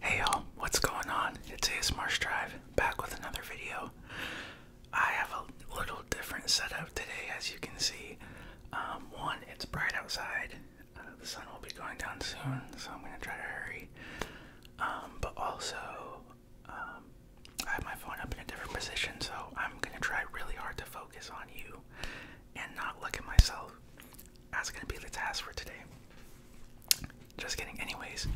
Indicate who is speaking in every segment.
Speaker 1: Hey y'all, what's going on? It's Marsh Drive back with another video. I have a little different setup today, as you can see. Um, one, it's bright outside. Uh, the sun will be going down soon, so I'm gonna try to hurry. Um, but also, um, I have my phone up in a different position, so I'm gonna try really hard to focus on you and not look at myself. That's gonna be the task for today. Just kidding, anyways.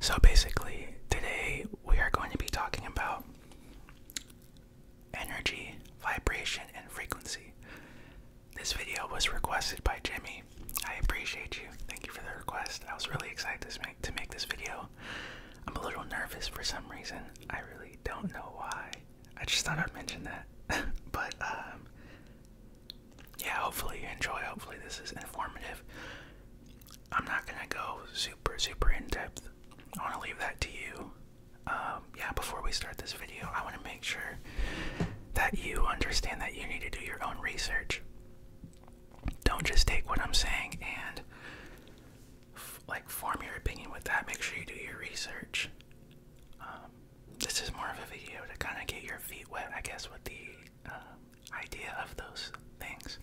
Speaker 1: So basically, today we are going to be talking about energy, vibration, and frequency. This video was requested by Jimmy. I appreciate you. Thank you for the request. I was really excited to make, to make this video. I'm a little nervous for some reason. I really don't know why. I just thought I'd mention that. but um, yeah, hopefully you enjoy. Hopefully this is informative. I'm not gonna go super, super in depth.
Speaker 2: I want to leave that to you. Um, yeah, before we start this video, I want to make sure
Speaker 1: that you understand that you need to do your own research. Don't just take what I'm saying and like form your opinion with that. Make sure you do your research. Um, this is more of a video to kind of get your feet wet, I guess, with the um, idea
Speaker 2: of those things.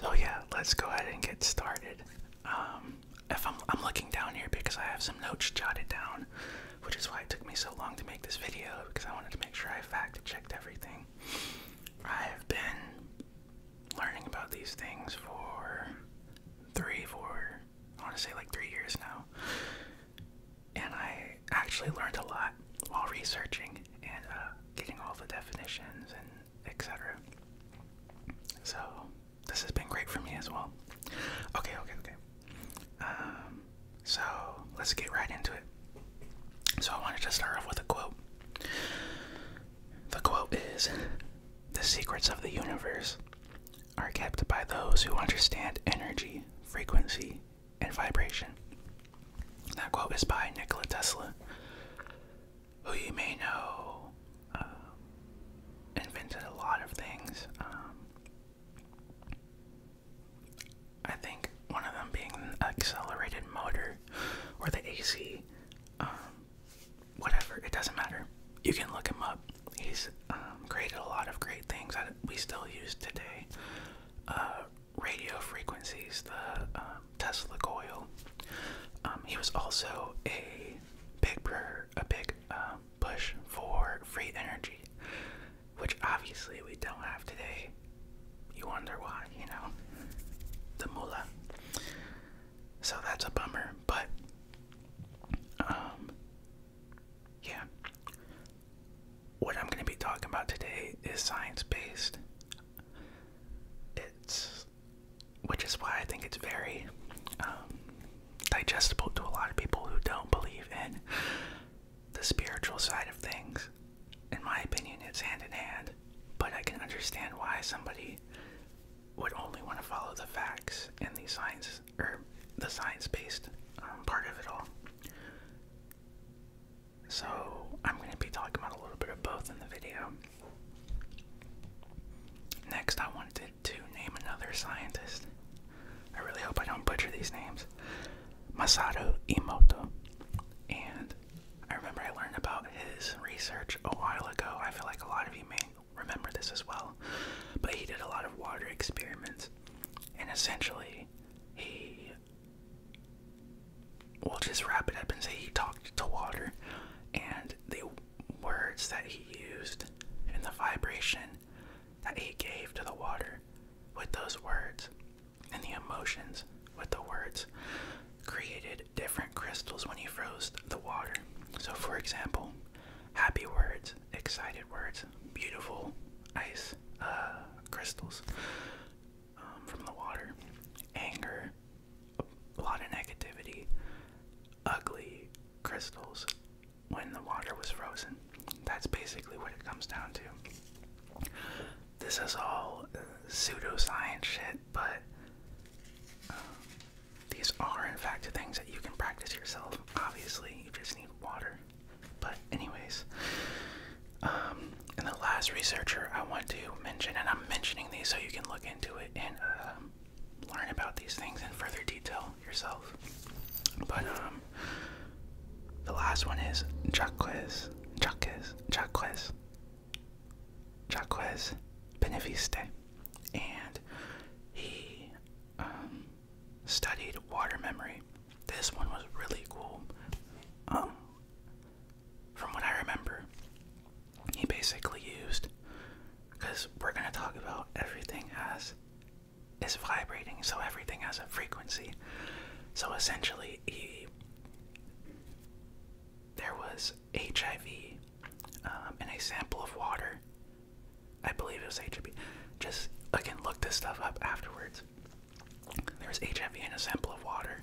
Speaker 2: So yeah, let's go ahead and get started. Um, if I'm,
Speaker 1: I'm looking down here because I have some notes jotted down, which is why it took me so long to make this video because I wanted to make sure I fact checked everything. I've been learning about these things for three, four, I want to say like three years now. And I actually learned a lot while researching and uh, getting all the definitions and etc. So this has been great for me as well. Okay, okay, okay. Um, so let's get right into it. So I wanted to start off with a quote. The quote is The secrets of the universe are kept by those who understand energy, frequency, and vibration. That quote is by Nikola Tesla, who you may know um, invented a lot of things. Um, I think one of them being the accelerated motor or the AC, um, whatever, it doesn't matter. You can look him up. He's um, created a lot of great things that we still use today. Uh, radio frequencies, the um, Tesla coil. he was also a big a big push for free energy, which obviously we don't have today. You wonder why, you know, the mullah. So that's a bummer, but um, yeah. What I'm going to be talking about today is science based. It's, which is why I think it's very um, digestible to a lot of people who don't believe in the spiritual side of things. In my opinion, it's hand in hand, but I can understand why somebody would only want to follow the facts and the science or the science-based um, part of it all. So I'm going to be talking about a little bit of both in the video. Next, I wanted to name another scientist. I really hope I don't butcher these names. Masato Imoto, And I remember I learned about his research a while ago. I feel like a lot of you may remember this as well, but he did a lot of water experiments, and essentially, he. We'll just wrap it up and say he talked to water, and the words that he used and the vibration that he gave to the water with those words and the emotions with the words created different crystals when he froze the water. So, for example, happy words, excited words, beautiful ice uh, crystals um, from the water, anger, a lot of negativity, ugly crystals when the water was frozen. That's basically what it comes down to. This is all uh, pseudoscience shit, but. Um, these are, in fact, things that you can practice yourself. Obviously, you just need water. But, anyways, um, and the last researcher I want to mention, and I'm mentioning these so you can look into it and um, learn about these things in further detail yourself. But um, the last one is Jacques, Jacques, Jacques, Jacques Beneviste and he um, studied water memory. This one was really cool. Um, from what I remember, he basically used because we're gonna talk about everything has is vibrating, so everything has a frequency. So essentially, he there was HIV in um, a sample of water. I believe it was HIV. Just I can look this stuff up afterwards. There was HIV in a sample of water.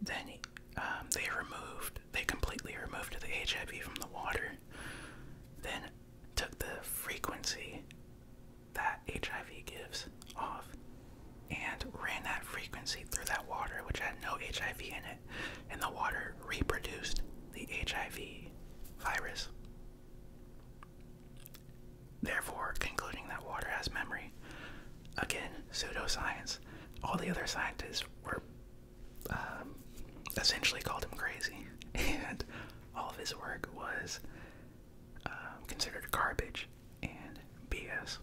Speaker 1: Then um, they removed, they completely removed the HIV from the water. Then took the frequency that HIV gives off and ran that frequency through that water, which had no HIV in it. And the water reproduced the HIV virus. Therefore, concluding that water has memory. Again, pseudoscience. All the other scientists were um, essentially called him crazy, and all of his work was um, considered garbage and BS.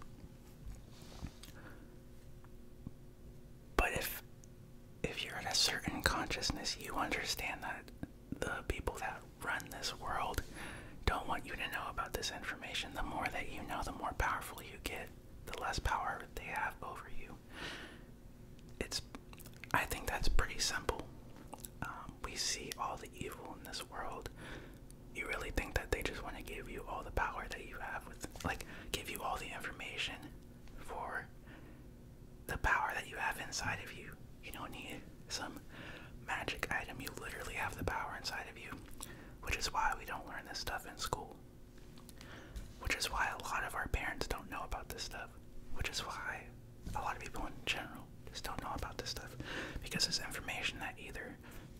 Speaker 2: But if if you're in a certain consciousness, you understand that the people that run this world don't want you to know
Speaker 1: about this information. The more that you know, the more powerful you get, the less power they have over you. It's I think that's pretty simple. Um, we see all the evil in this world. You really think that they just want to give you all the power that you have like give you all the information for the power that you have inside of you. You don't need some magic item. You literally have the power inside of you, which is why we don't learn this stuff in school. Which is why a lot of our parents don't know about this stuff. Which is why a lot of people in general just don't know about this stuff because it's information that either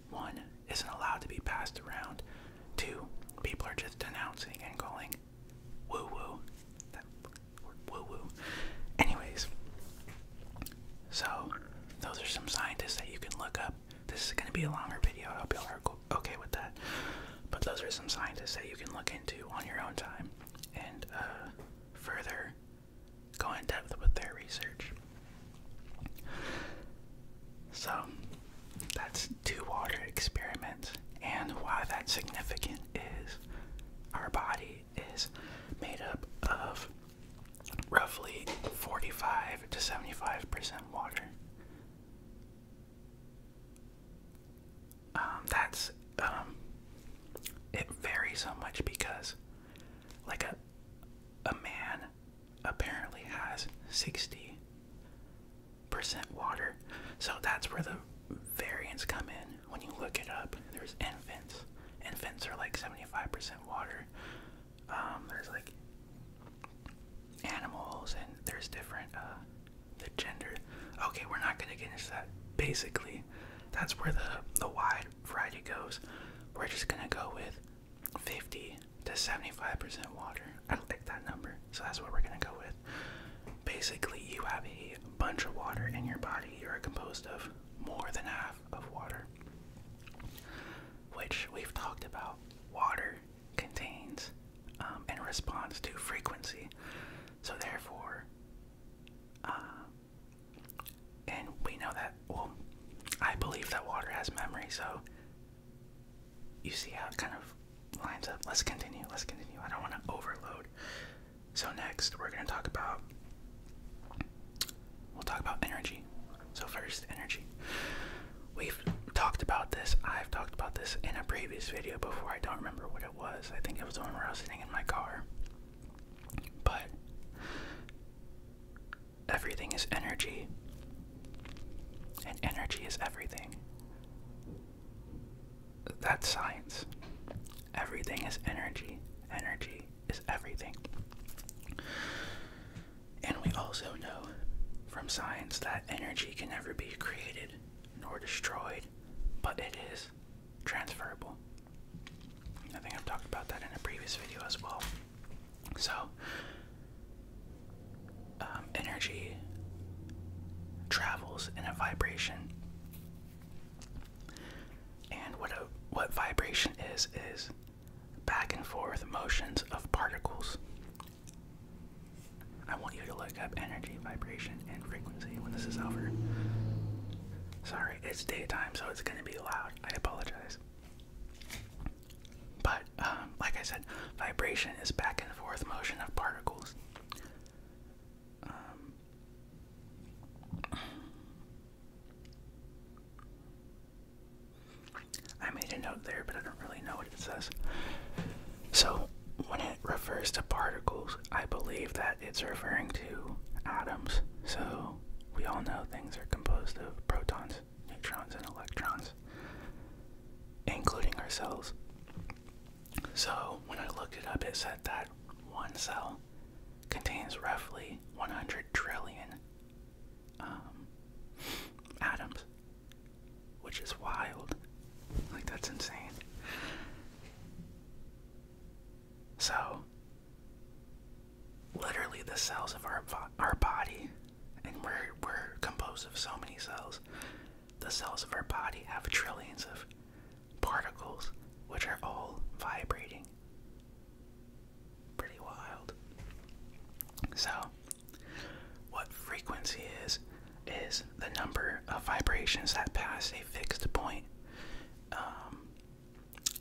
Speaker 1: one isn't allowed to be passed around. Two, people are just denouncing and calling woo woo. woo woo. Anyways, so those are some scientists that you can look up. This is going to be a longer video. I hope y'all are okay with that. But those are some scientists that you can look into on your own time and uh, further go in depth with their research. So that's two water experiments. And why that's significant is our body is made up of roughly 45 to 75% water. Um, that's, um, it varies so much because, like, a, a man apparently has 60% water. So that's where the variants come in. When you look it up, there's infants. Infants are like 75% water. Um, there's like animals and there's different uh, the gender. Okay, we're not gonna get into that. Basically, that's where the the wide variety goes. We're just gonna go with 50 to 75% water. I like that number, so that's what we're gonna go with. Basically, you have a bunch of water in your body. You're composed of more than half of water, which we've talked about. Water contains um, and responds to frequency, so therefore, uh, and we know that. Well, I believe that water has memory, so you see how it kind of lines up. Let's continue. Let's continue. I don't want to overload. So next, we're going to talk about we'll talk about energy. So first, energy. We've talked about this. I've talked about this in a previous video before. I don't remember what it was. I think it was the one where I was sitting in my car. But everything is energy, and energy is everything. That's science. Everything is energy. Energy is everything. And we also know from science that energy can never be created nor destroyed, but it is transferable. I think I've talked about that in a previous video as well. So, um, energy travels in a vibration, and what a what vibration is is back and forth motions of particles. I want you to look up energy, vibration, and frequency when this is over. Sorry, it's daytime, so it's gonna be loud. I apologize. But um, like I said, vibration is back and forth motion of particles. Um, I made a note there, but I don't really know what it says. So, when it refers to particles, I believe that it's referring to atoms. So, we all know things are composed of protons, neutrons, and electrons, including ourselves. So, when I looked it up, it said that one cell contains roughly 100 trillion um, atoms, which is wild. Like, that's insane. So, literally, the cells of our, our body and we're we're composed of so many cells. The cells of our body have trillions of particles which are all vibrating. Pretty wild. So, what frequency is, is the number of vibrations that pass a fixed point um,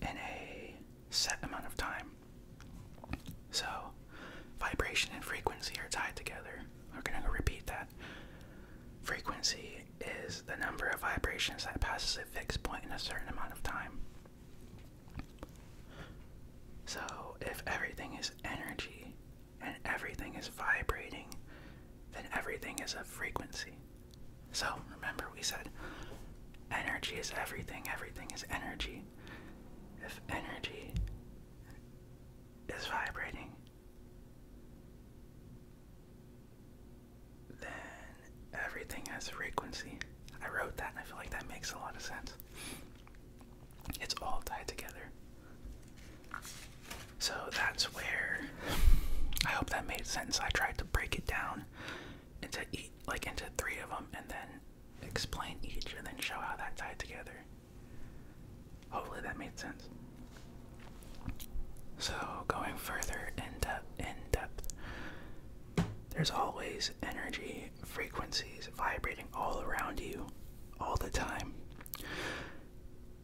Speaker 1: in a set amount of time. So, vibration and frequency are tied together. We're going to repeat that. Frequency is the number of vibrations that passes a fixed point in a certain amount of time. So, if everything is energy and everything is vibrating, then everything is a frequency. So, remember we said energy is everything, everything is energy. If energy is vibrating, then everything has frequency. I wrote that and I feel like that makes a lot of sense. It's all tied together. So that's where I hope that made sense. I tried to break it down into like into three of them and then explain each and then show how that tied together. Hopefully that made sense. So going further in depth in depth, there's always energy, frequencies vibrating all around you all the time.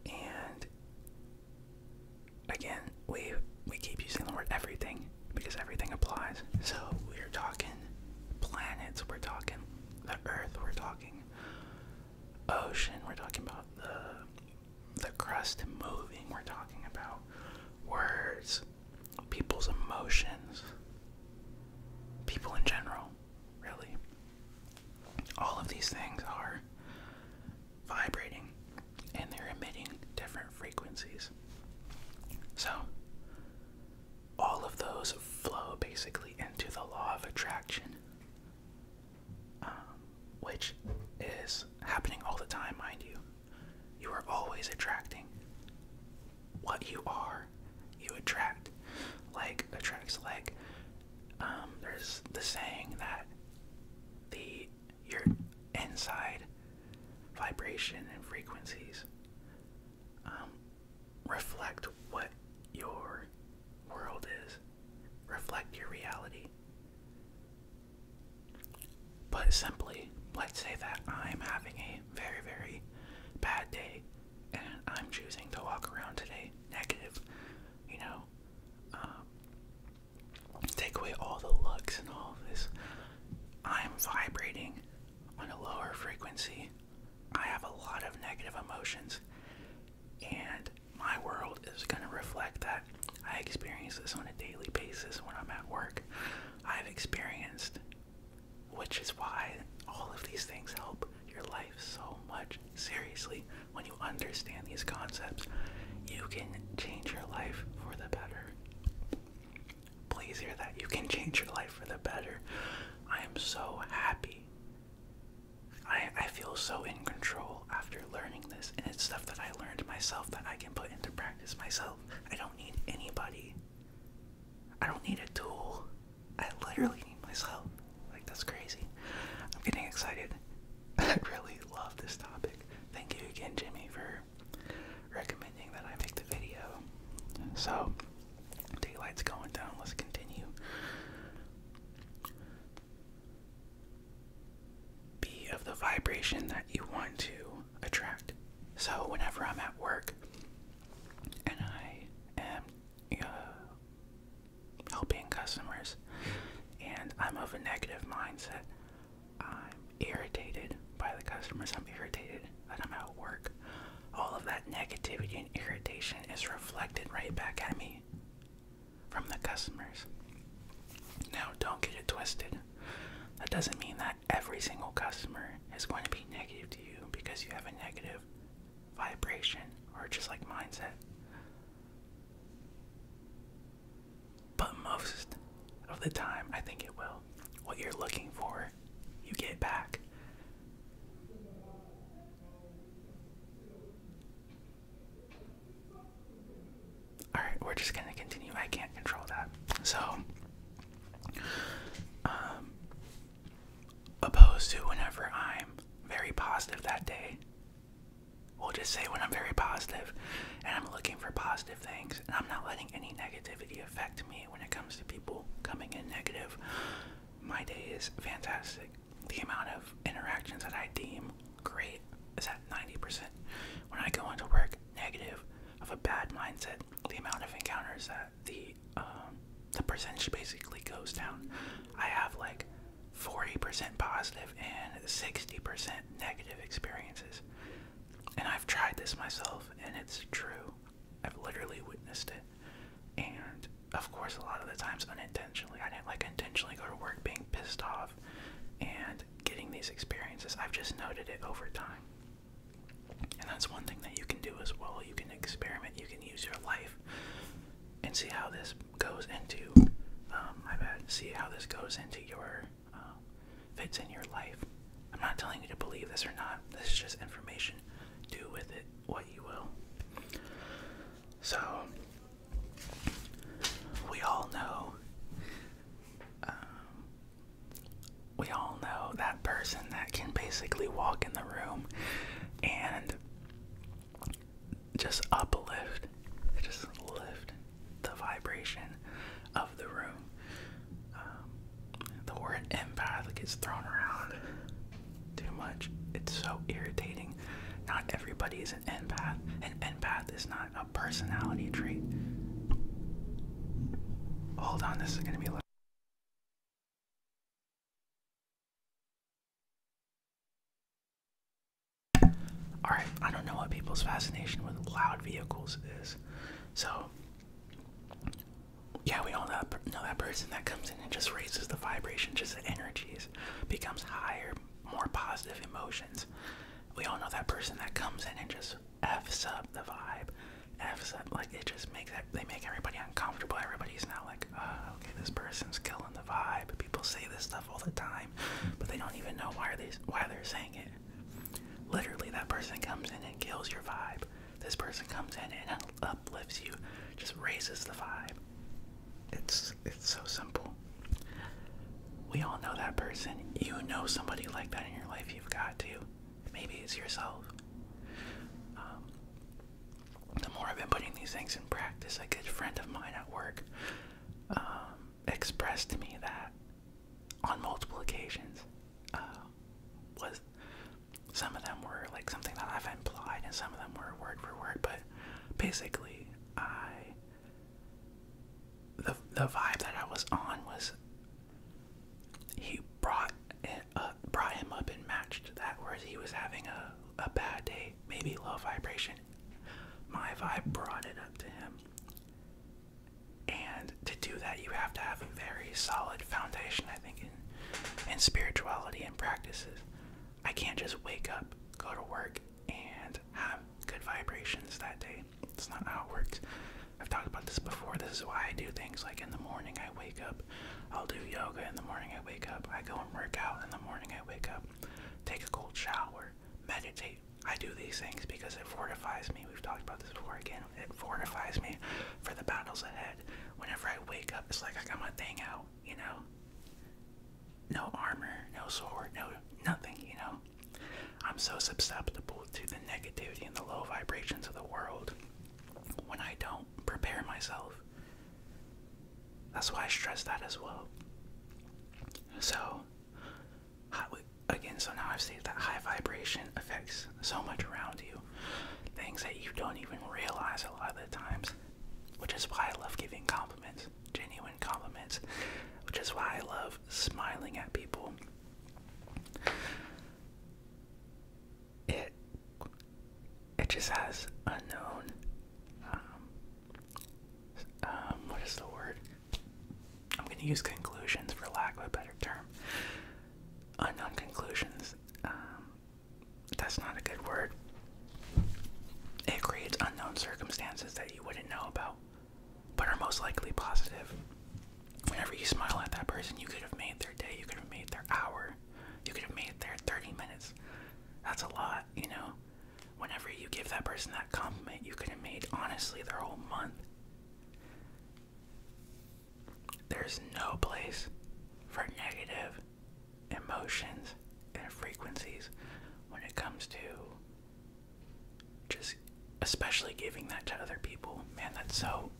Speaker 1: And again, we we keep using the word everything because everything applies. So we're talking planets, we're talking the earth, we're talking ocean, we're talking about the the crust moving, we're talking about words, people's emotions, people in general, really. All of these things are vibrating and they're emitting different frequencies. So all of those flow basically into the law of attraction, um, which is happening all the time, mind you. You are always attracting what you are, you attract. Like attracts like. Um, there's the saying that the your inside vibration and frequencies um, reflect what your world is, reflect your reality. But simply, let's say that I'm having a very, very bad day and I'm choosing to walk around today negative, you know, um, take away all the looks and all this. I'm vibrating on a lower frequency, I have a lot of negative emotions, and my world is going to reflect that. I experience this on a daily basis when I'm at work. I've experienced, which is why all of these things help your life so much. Seriously, when you understand these concepts, you can change your life for the better. Please hear that. You can change your life for the better. I am so happy. I, I feel so in control after learning this, and it's stuff that I learned myself that I can put into practice myself. I don't need anybody. I don't need a tool. I literally need myself. Like, that's crazy. I'm getting excited. I really love this topic. Thank you again, Jimmy, for recommending that I make the video. So, daylight's going down. Let's continue. Be of the vibration that you want to attract. So, whenever I'm at work and I am uh, helping customers and I'm of a negative mindset, I'm irritated by the customers. I'm irritated that I'm out work. All of that negativity and irritation is reflected right back at me from the customers. Now, don't get it twisted. That doesn't mean that every single customer is going to be negative to you because you have a negative vibration or just like mindset. But most of the time, I think it will. What you're looking for, you get back. Alright, we're just gonna continue. I can't control that. So, um, opposed to whenever I'm very positive that day, we'll just say when I'm very positive and I'm looking for positive things and I'm not letting any negative it affect me when it comes to
Speaker 2: people coming in negative. My day is fantastic. The amount of interactions that I deem great is at 90%. When I go into work negative, of a bad mindset, the amount of encounters that the um, the percentage
Speaker 1: basically goes down. I have like 40% positive and 60% negative experiences. And I've tried this myself, and it's true. I've literally witnessed it. And of course, a lot of the times
Speaker 2: unintentionally. I didn't like intentionally go to work being pissed off and getting these experiences.
Speaker 1: I've just noted it over time. And that's one thing that you can do as well. You can experiment, you can use your life and see how this goes into, um, my bad, see how this goes into your uh, fits in your life. I'm not telling you to believe this or not. This is just information. Do with it what you will. So,
Speaker 2: we all know. Um, we all know that person that can
Speaker 1: basically walk in the room and just uplift, just lift the vibration of the room. Um, the word empath gets thrown around
Speaker 2: too much. It's so irritating. Not everybody is an empath. An empath
Speaker 1: is not a personality trait. Hold on, this is going to be a little. Alright, I don't know what people's fascination with loud vehicles is. So yeah, we all know that, know that person that comes in and just raises the vibration, just the energies, becomes higher, more positive emotions. We all know that person that comes in and just f's up the vibe, f's up like it just makes that they make everybody uncomfortable. Everybody's now like, ah, okay, this person's killing the vibe. People say this stuff all the time, but they don't even know why they why they're saying it. Literally, that person comes in and kills your vibe. This person comes in and uplifts you, just raises the vibe. It's it's so simple. We all know that person. You know somebody like that in your life. You've got to. Maybe it's yourself. Um, the more I've been putting these things in practice, a good friend of mine at work, um, expressed to me that on multiple occasions uh, was some of them were like something that I've implied and some of them were word for word, but basically I the the vibe that I was on was he brought it up, uh, brought him up and matched that whereas he was having a, a bad day, maybe low vibration. My vibe brought it up to him. And to do that, you have to have a very solid foundation, I think, in, spirituality and practices.
Speaker 2: I can't just wake up, go to work, and have good vibrations that day.
Speaker 1: It's not how it works. I've talked about this before. This is why I do things like in the morning I wake up, I'll do yoga in the morning I wake up, I go and work out in the morning I wake up, take a cold shower, meditate I do these things because it fortifies me. We've talked about this before again. It fortifies me for the battles ahead. Whenever I wake up, it's like I got my thing out, you know? No armor, no sword, no nothing, you know? I'm so susceptible to the negativity and the low vibrations of the world when I don't prepare myself. That's why I stress that as well. So, again, so now I've stated that high vibration affects so much around you, things that you don't even realize a lot of the times, which is why I love giving compliments, genuine compliments, which is why I love smiling at people. It it just has unknown um, um what is the word? I'm going to use conclusions for lack of a better term. Unknown uh, conclusions. Um, that's not a good word. It creates unknown circumstances that you wouldn't know about, but are most likely positive. Whenever you smile at that person, you could have made their day, you could
Speaker 2: have made their hour, you could have made their 30 minutes. That's a lot, you know? whenever you give that person that compliment, you can have made honestly their whole month. There's
Speaker 1: no place for negative emotions and frequencies when it comes to just especially giving that to other people. Man, that's so.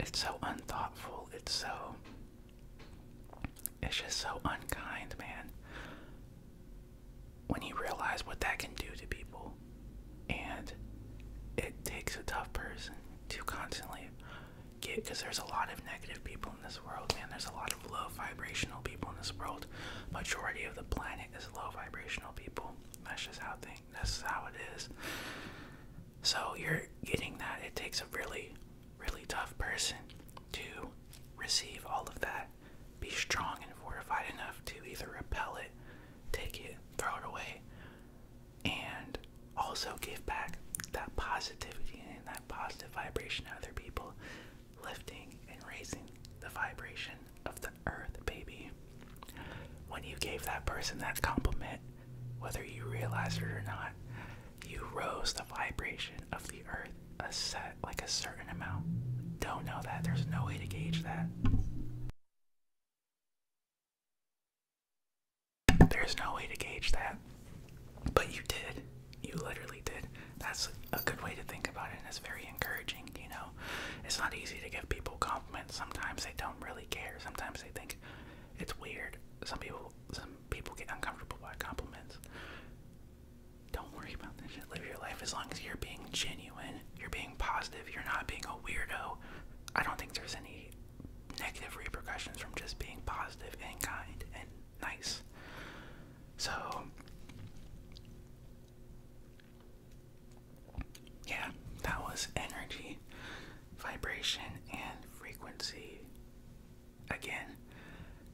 Speaker 1: It's so unthoughtful. It's so. It's just so unkind, man when you realize what that can do to people, and it takes a tough person to constantly get because there's a lot of negative people in this world, man. There's a lot of low vibrational people in this world. Majority of the planet is low vibrational people. That's just how thing. That's how it is. So you're getting that. It takes a really really tough person to receive all of that. Be strong and fortified enough to either repel it, take it, throw it away, and also give back that positivity and that positive vibration to other people, lifting and raising the vibration of the earth, baby. When you gave that person that compliment, whether you realized it or not, you rose the vibration of the earth a set like a certain amount. Don't know that. There's no way to gauge that. There's no way to gauge that. But you did. You literally did. That's a good way to think about it, and it's very encouraging, you know. It's not easy to give people compliments. Sometimes they don't really care. Sometimes they think it's weird. Some people some people get uncomfortable by compliments. Don't worry about this. Live your life as long as you're being genuine, you're being positive, you're not being a weirdo. I don't think there's any negative repercussions from just being positive and kind and nice. So, yeah, that was energy, vibration, and frequency again,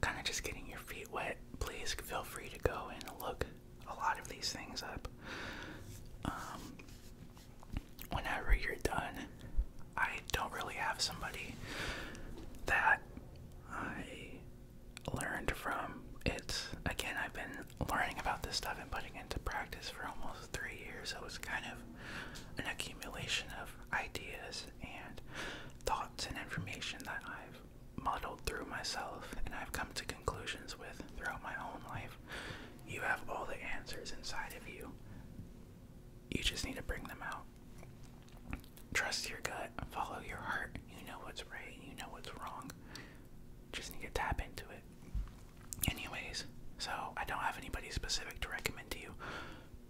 Speaker 1: kind of just getting your feet wet, please feel free to go and look a lot of these things up. Um, whenever you're done, I don't really have somebody that I learned from. It's again, I've been learning about this stuff and putting into practice for almost three years, so was kind of an accumulation of ideas and thoughts and information that I've muddled through myself and I've come to conclusions with throughout
Speaker 2: my own life. You have all the answers inside of you. You just need to bring them out. Trust your gut, follow your heart. You know what's
Speaker 1: right, you know what's wrong. Just need to tap into it. Anyways, so I don't have anybody specific to recommend to you,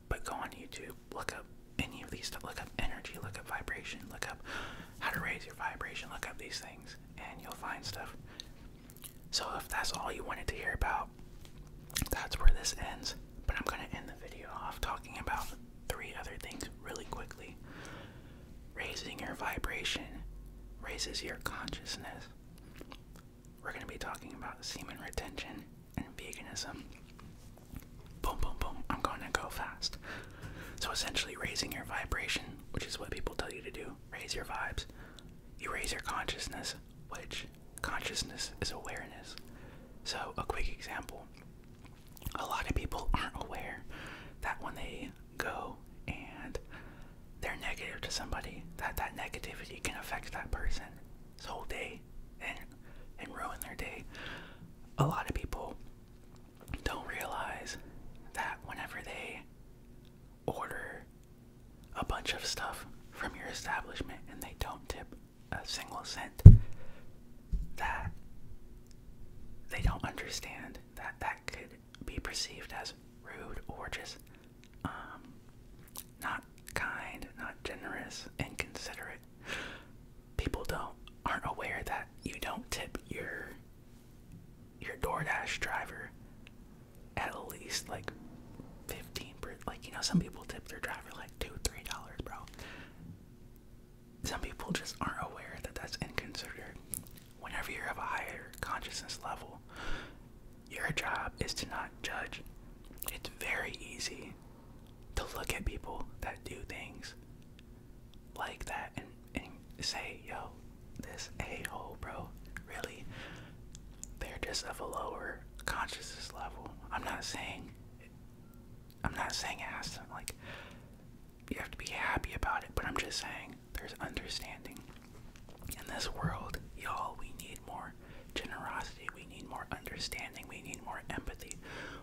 Speaker 1: but go on YouTube, look up any of these stuff, look up energy, look up vibration, look up how to raise your vibration, look up these things, and you'll find stuff. So if that's all you wanted to hear about, that's where this ends. But I'm gonna end the video off talking about three other things really quickly. Raising your vibration raises your consciousness. We're gonna be talking about semen retention and veganism. Boom, boom, boom. I'm going to go fast. So essentially, raising your vibration, which is what people tell you to do, raise your vibes. You raise your consciousness, which consciousness is awareness. So, a quick example a lot of people aren't aware that when they go and they're negative to somebody, that that negativity can affect that person his whole day and ruin their day. A lot of people don't realize that whenever they order a bunch of stuff from your establishment and they don't tip a single cent, that they don't understand that that could be perceived as rude or just um, not kind, not generous, and considerate. People don't aren't aware that you don't tip your your DoorDash driver at least like fifteen like you know some people tip their driver like two three dollars bro. Some people just aren't aware that that's inconsiderate. Whenever you have a higher consciousness level, your job is to not judge. It's very easy to look at people that do things like that and, and say, yo, this a hole, bro. Really? They're just of a lower consciousness level. I'm not saying I'm not saying it has to like you have to be happy about it, but I'm just saying there's understanding. In this world, y'all, we need more generosity. We need more understanding. We need more empathy.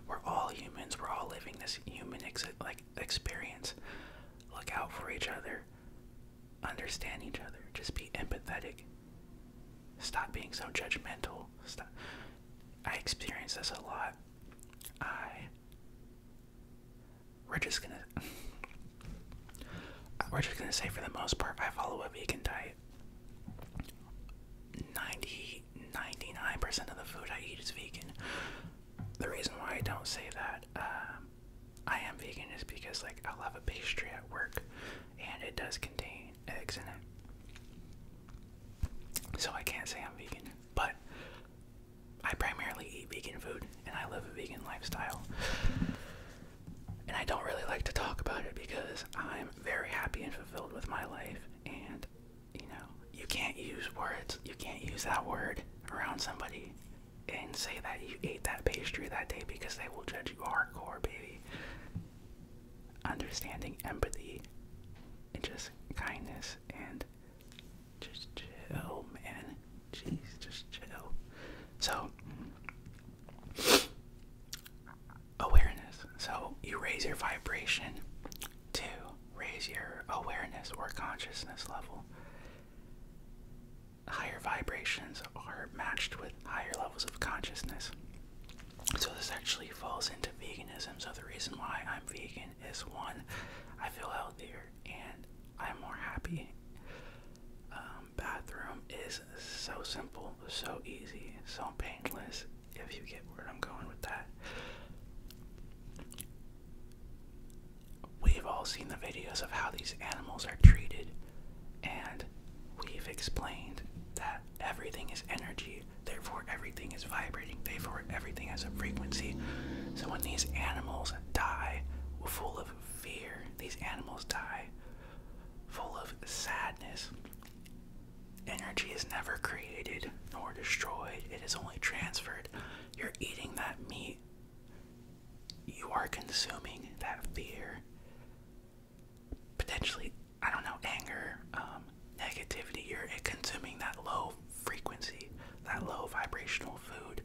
Speaker 1: We're all humans. We're all living this human like experience. Look out for each other. Understand each other. Just be empathetic. Stop being so judgmental. Stop. I experience this a lot. I. We're just gonna. We're just gonna say for the most part, I follow a vegan diet right? 99% of the food I eat is vegan. The reason why I don't say that um, I am vegan is because, like, I'll have a pastry at work and it does contain eggs in it. So I can't say I'm vegan, but I primarily eat vegan food and I live a vegan lifestyle. And I don't really like to talk about it because I'm very happy and fulfilled with my life. And, you know, you can't use words, you can't use that word around somebody and say that you ate that pastry that day because they will judge you hardcore, baby. Understanding, empathy, and just kindness and just chill, man. Jeez, just chill. So, awareness. So you raise your vibration
Speaker 2: to raise your awareness or consciousness level. Higher
Speaker 1: vibrations are matched with higher levels of consciousness. So this actually falls into veganism. So the reason why I'm vegan is one, I feel healthier and I'm more happy. Um, bathroom is so simple, so easy, so painless, if you get where I'm going with that. We've all seen the videos of how these animals are treated, and we've explained that everything is energy, therefore, everything is vibrating, therefore, everything has a frequency. So, when these animals die, full of fear, these animals die, full of sadness, Energy is never created nor destroyed, it is only transferred. You're eating that meat, you are consuming that fear. Potentially, I don't know, anger, um, negativity, you're consuming that low frequency, that low vibrational food,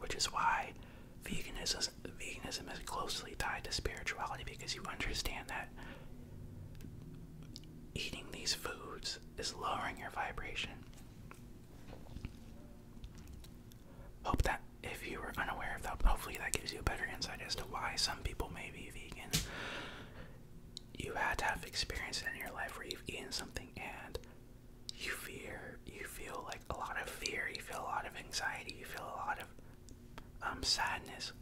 Speaker 1: which is why veganism veganism is closely tied to spirituality because you understand that eating these foods is lowering your vibration. Hope that if you were unaware of that, hopefully that gives you a better insight as to why some people may be vegan. You had to have experience in your life where you've eaten something and you fear, you feel like a lot of fear, you feel a lot of anxiety, you feel a lot of um, sadness,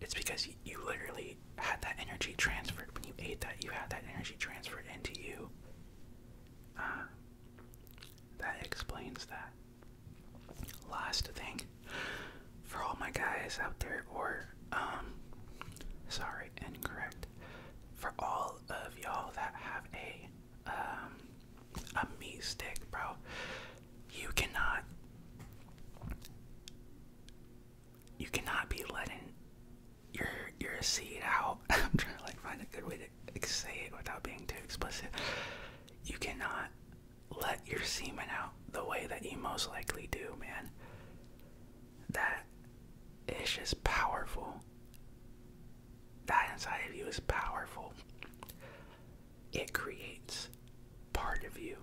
Speaker 1: it's because you literally had that energy transferred. When you ate that, you had that energy transferred into you. Uh, that explains that. Last thing for all my guys out there, or, um, sorry, incorrect. For all of y'all that have a um, a meat stick, bro. You cannot, you cannot be letting your your seed out. I'm trying to like find a good way to say it without being too explicit. You cannot let your semen out the way that you most likely do, man. That is just powerful. That inside of you is powerful it creates part of you.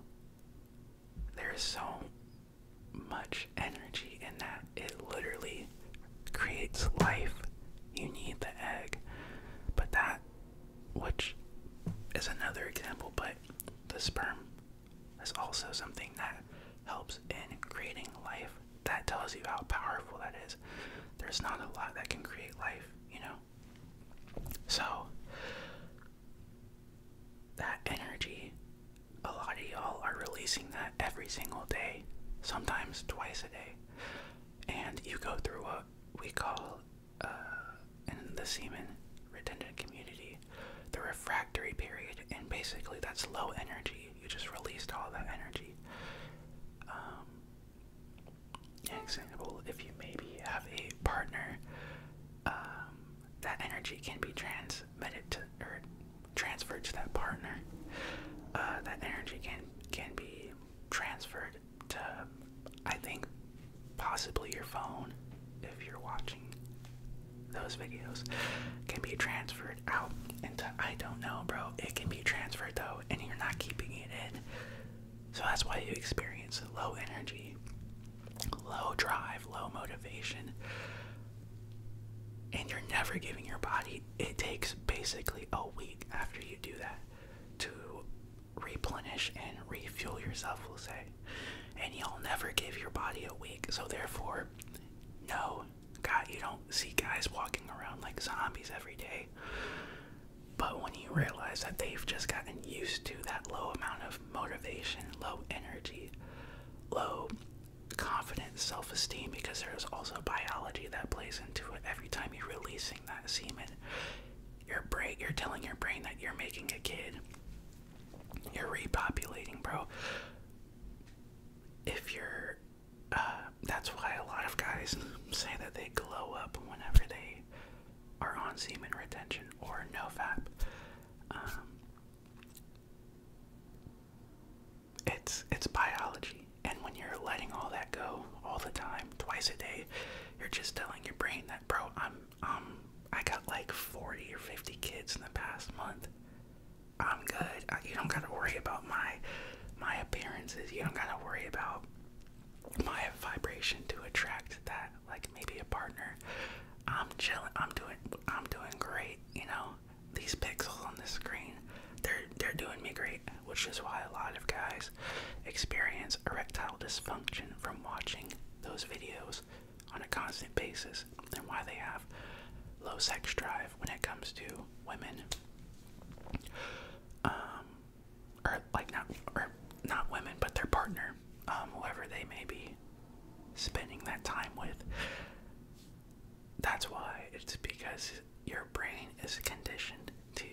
Speaker 1: There is so much energy in that. It literally creates life. You need the egg. But that, which is another example, but the sperm is also something that helps in creating life. That tells you how powerful that is. There's not a lot that can create life, you know? So that energy, a lot of y'all are releasing that every single day, sometimes twice a day. And you go through what we call uh, in the semen redundant community the refractory period, and basically that's low energy. You just released all that energy. Um, example, if you maybe have a partner, um, that energy can be transmitted to or transferred to that partner. Uh, that energy can can be transferred to, I think, possibly your phone, if you're watching those videos, can be transferred out into I don't know, bro. It can be transferred though, and you're not keeping it in. So that's why you experience low energy, low drive, low motivation. And you're never giving your body, it takes basically a week after you do that to replenish and refuel yourself, we'll say. And you'll never give your body a week. So, therefore, no, God, you don't see guys walking around like zombies every day. But when you realize that they've just gotten used to that low amount of motivation, low energy, low confidence, self esteem, because there's also biology that plays into it. Every time you're releasing that semen, your brain, you're telling your brain that you're making a kid. You're repopulating, bro. If you're that's why a lot of guys say that they glow up whenever they are on semen retention or nofap. Um, it's it's biology, and when you're letting all that go all the time, twice a day, you're just telling your brain that, bro, I'm um I got like 40 or 50
Speaker 2: kids in the past month. I'm good. you don't gotta worry about my my appearances. You don't gotta worry about my vibration to attract that, like maybe a partner. I'm chilling. I'm doing. I'm doing great. You know, these pixels on the screen, they're they're doing me great, which is why a lot of guys experience erectile dysfunction
Speaker 1: from watching those videos on a constant basis, and why they have low sex drive when it comes to women. Um, or like not or not women but their partner um, whoever they may be spending that time with that's why it's because your brain is conditioned to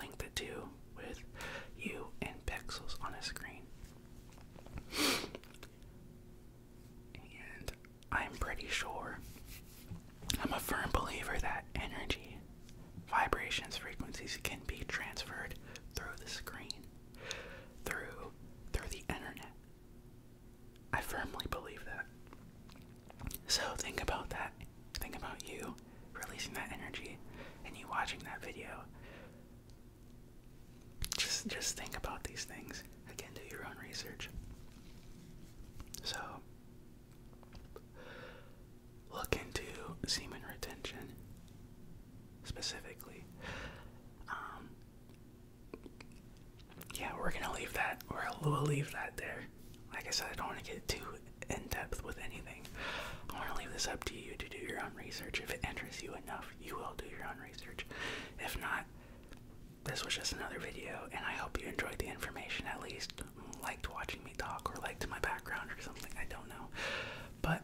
Speaker 1: link the two with you and pixels on a screen and I'm pretty sure. I'm a firm believer that energy, vibrations, frequencies can be transferred through the screen, through through the internet. I firmly believe that. So think about that. Think about you releasing that energy and you watching that video. Just just think about these things. Again, do your own research. So look into semen retention specifically. Um, yeah, we're gonna leave that. We're, we'll leave that there. Like I said, I don't want to get too in depth with anything. I want to leave this up to you to do your own research. If it interests you enough, you will do your own research. If not, this was just another video, and I hope you enjoyed the information at least. Liked watching me talk, or liked my background, or something. I don't know. But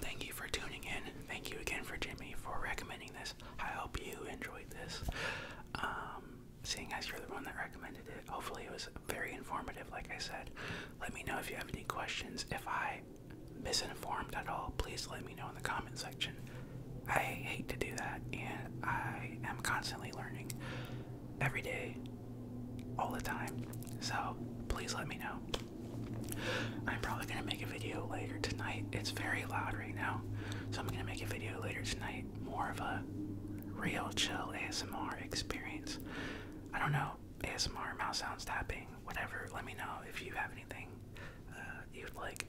Speaker 1: thank you for tuning in. Thank you again for Jimmy for recommending this. I hope you enjoyed this. Um, seeing as you're the one that recommended it, hopefully it was very informative, like I said. Let me know if you have any questions. If I misinformed at all, please let me know in the comment section. I hate to do that, and I am constantly learning every day, all the time. So please let me know. I'm probably gonna make a video later tonight. It's very loud right now, so I'm gonna make a video later tonight, more of a real chill ASMR experience. I don't know, ASMR, mouse sounds tapping, whatever. Let me know if you have anything uh, you'd like.